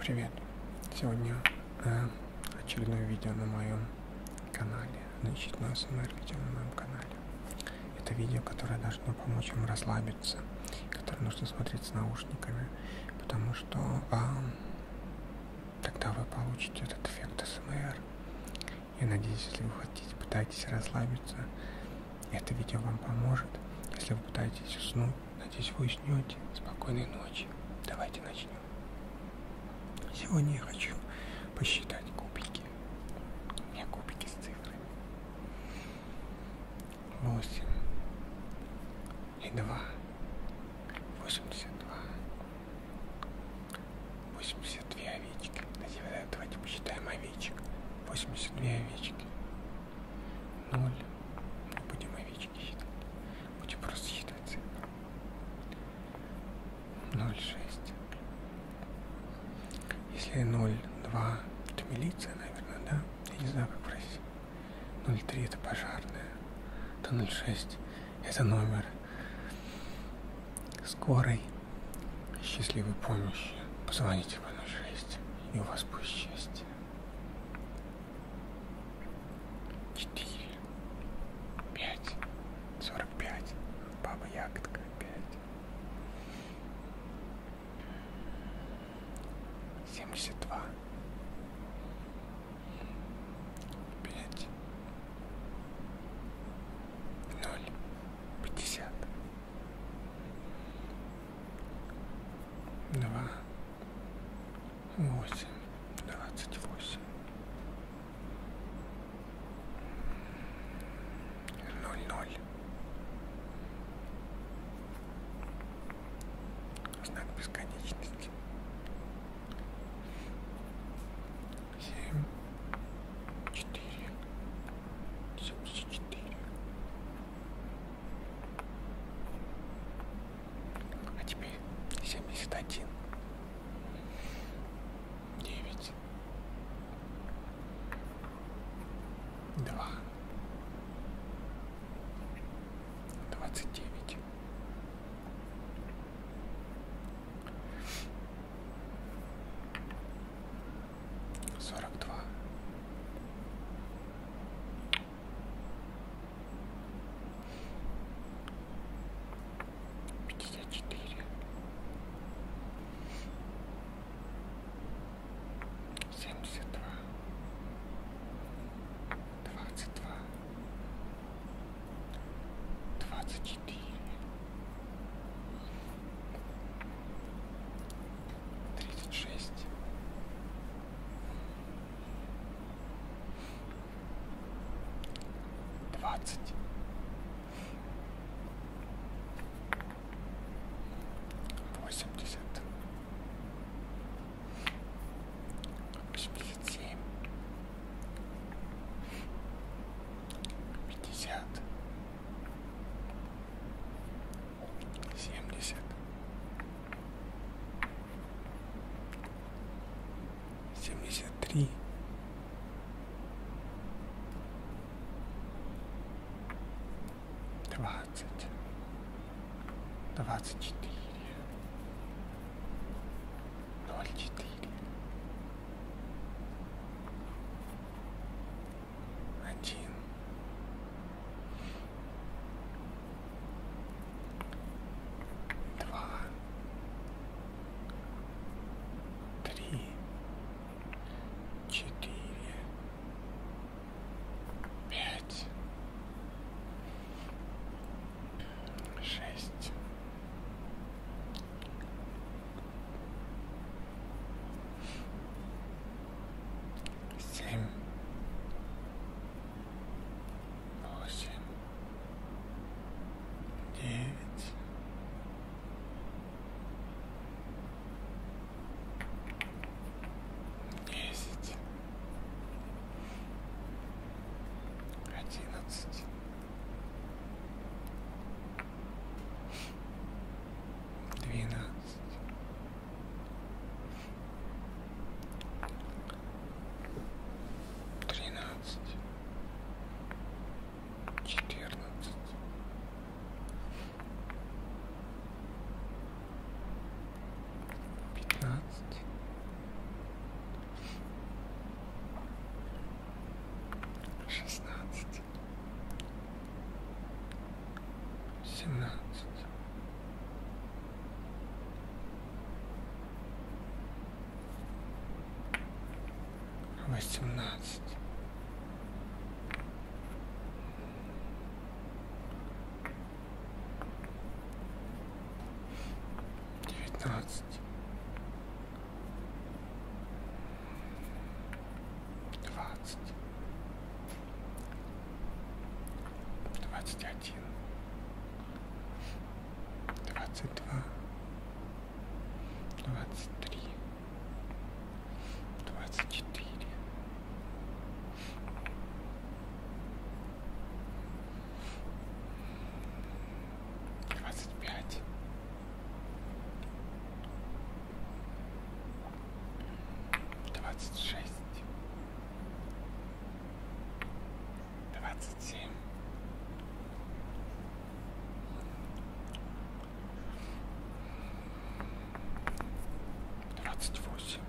привет сегодня э, очередное видео на моем канале значит на смр видео на моем канале это видео которое должно помочь вам расслабиться которое нужно смотреть с наушниками потому что э, тогда вы получите этот эффект смр я надеюсь если вы хотите пытаетесь расслабиться это видео вам поможет если вы пытаетесь уснуть Надеюсь, вы уснете. Спокойной ночи. Давайте начнем. Сегодня я хочу посчитать кубики. У меня кубики с цифрами. 8 и 2. 82. 82 овечки. Давайте посчитаем овечек. 82 овечки. 0. Ну, будем овечки нічні хід. Будемо розхідна цифра. 0,6. Если 0,2, это милиция, наверное, да? Я не знаю, как в России. 0,3 это пожарная. Это 0,6 это номер скорой счастливой помощи. Позвоните по 06 и у вас будет счастье четыре, пять, сорок пять, баба ягодка пять, семьдесят два, пять, ноль, пятьдесят, два восемь, двадцать восемь, ноль ноль. Знак бесконечности. Семь, четыре, семьдесят четыре, а теперь семьдесят один, девять, два, двадцать девять. Сорок два, пятьдесят четыре семьдесят два двадцать два двадцать четыре тридцать шесть, двадцать, восемьдесят, восемьдесят семь, пятьдесят семьдесят семьдесят три двадцать двадцать четыре ноль четыре один два, три, четыре, пять, шесть семь, восемь, девять. Десять, одиннадцать, двенадцать, тринадцать, четырнадцать, пятнадцать, шестнадцать семнадцать. Восемнадцать. Девятнадцать. Двадцать двадцать один, двадцать два, двадцать три, двадцать четыре, двадцать пять двадцать шесть, двадцать семь, двадцать восемь.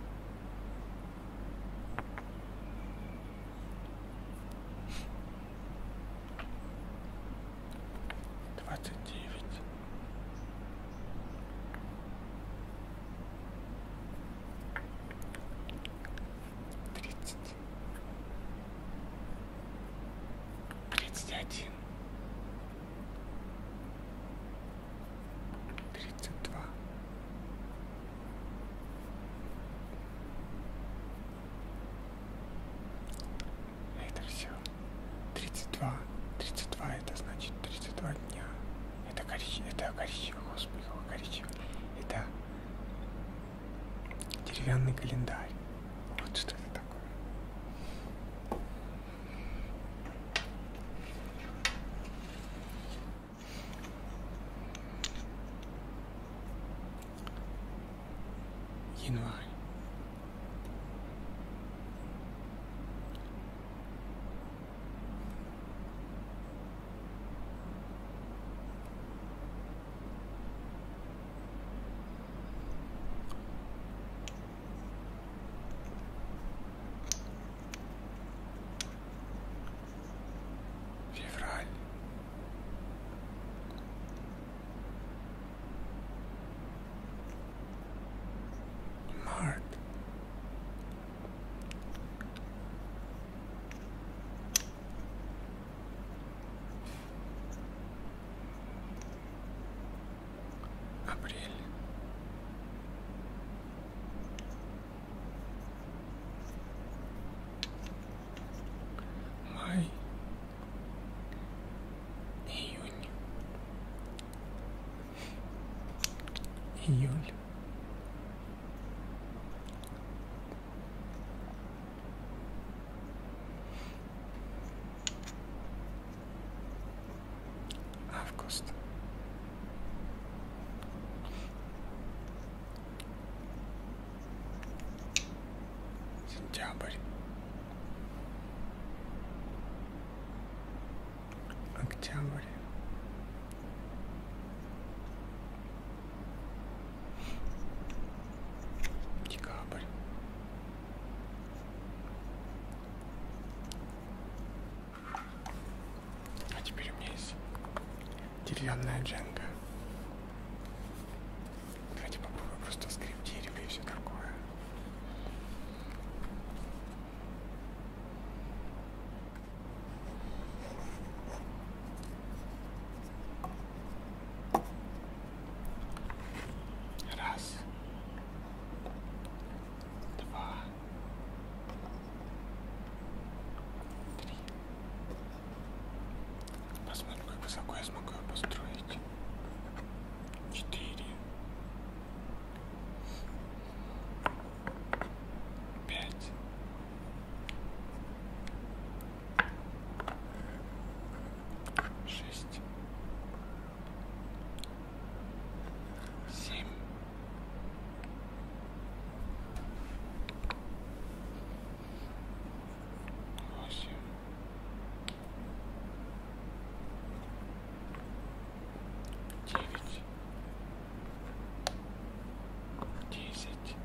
Двадцать девять тридцать тридцать один тридцать два это все 32. 32 это значит 32 дня. Это коричневый, это коричневый, господи, коричневый. Это деревянный календарь. Вот что это такое. Январь. Февраль. Mart. Апрель. Май. Июнь. Июль. Август. Сентябрь октябрь декабрь а теперь у меня есть деревянная дженга давайте попробуем просто скрип дерева и все такое Раз. Два. Три. Посмотрим, как высоко я смогу его построить. Четыре пять шесть семь восемь девять, десять,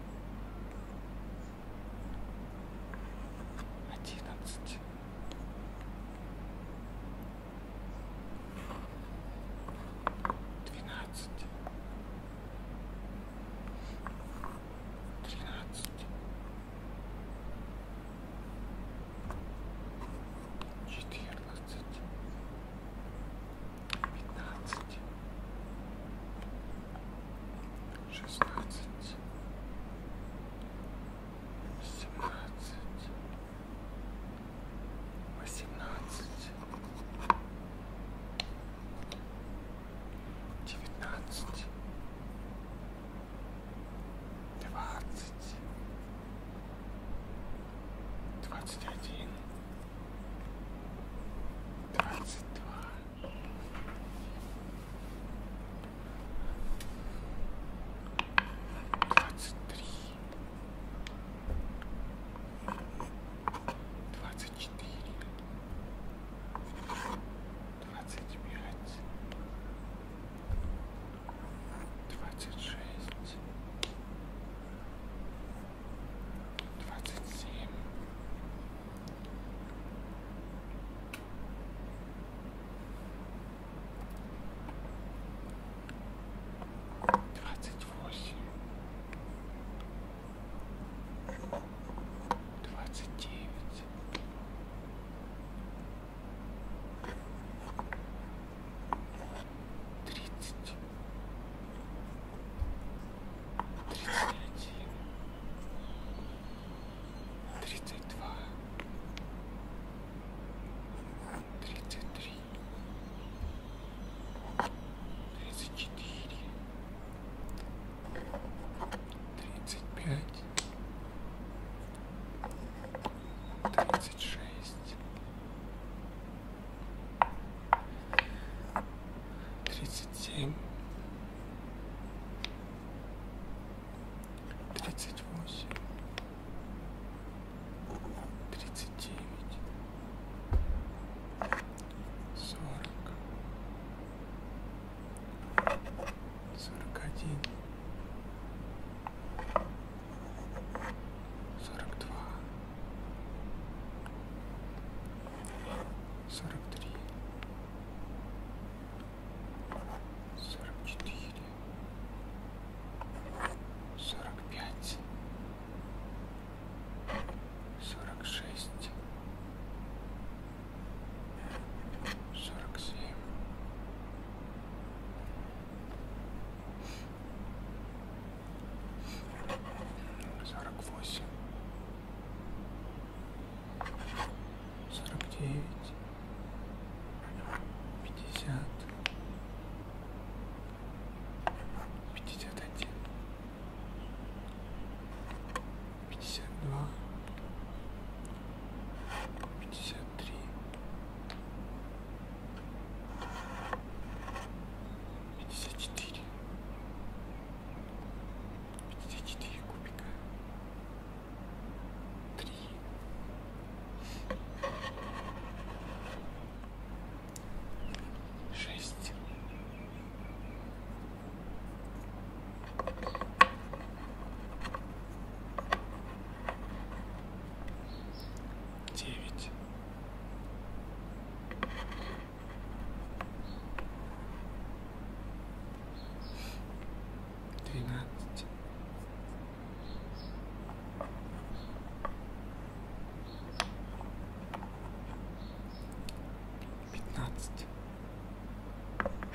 одиннадцать. Двенадцать, тринадцать, четырнадцать, пятнадцать, шестнадцать, семнадцать, восемнадцать, девятнадцать двадцать, двадцать один, двадцать два, двадцать три, двадцать четыре, двадцать пять двадцать шесть, двадцать семь, двадцать восемь, двадцать девять тридцать, тридцать один, тридцать два, тридцать три, тридцать четыре, тридцать пять тридцать шесть, тридцать семь, тридцать восемь, тридцать девять, сорок, сорок один сорок два, сорок три, сорок четыре, сорок пять, сорок шесть. Сорок семь, сорок восемь, сорок девять, пятьдесят, пятьдесят один, пятьдесят два, пятьдесят три пятьдесят четыре пятьдесят четыре кубика три шесть девять двенадцать пятнадцать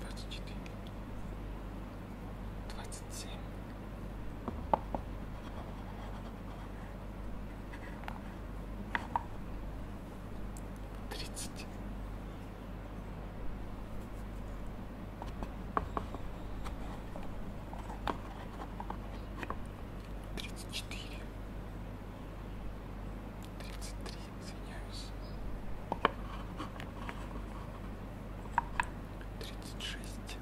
двадцать четыре, двадцать семь, тридцать. Тридцать четыре, тридцать три, извиняюсь. 36.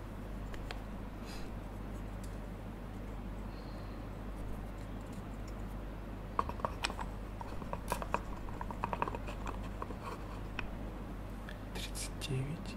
Тридцать девять.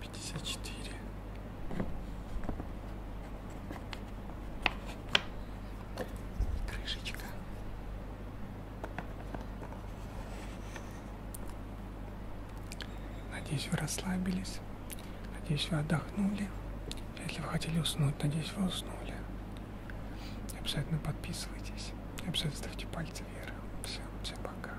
54. Крышечка. Надеюсь, вы расслабились. Надеюсь, вы отдохнули. Если вы хотели уснуть, надеюсь, вы уснули. Обязательно подписывайтесь. Обязательно ставьте пальцы вверх. Все, всем пока.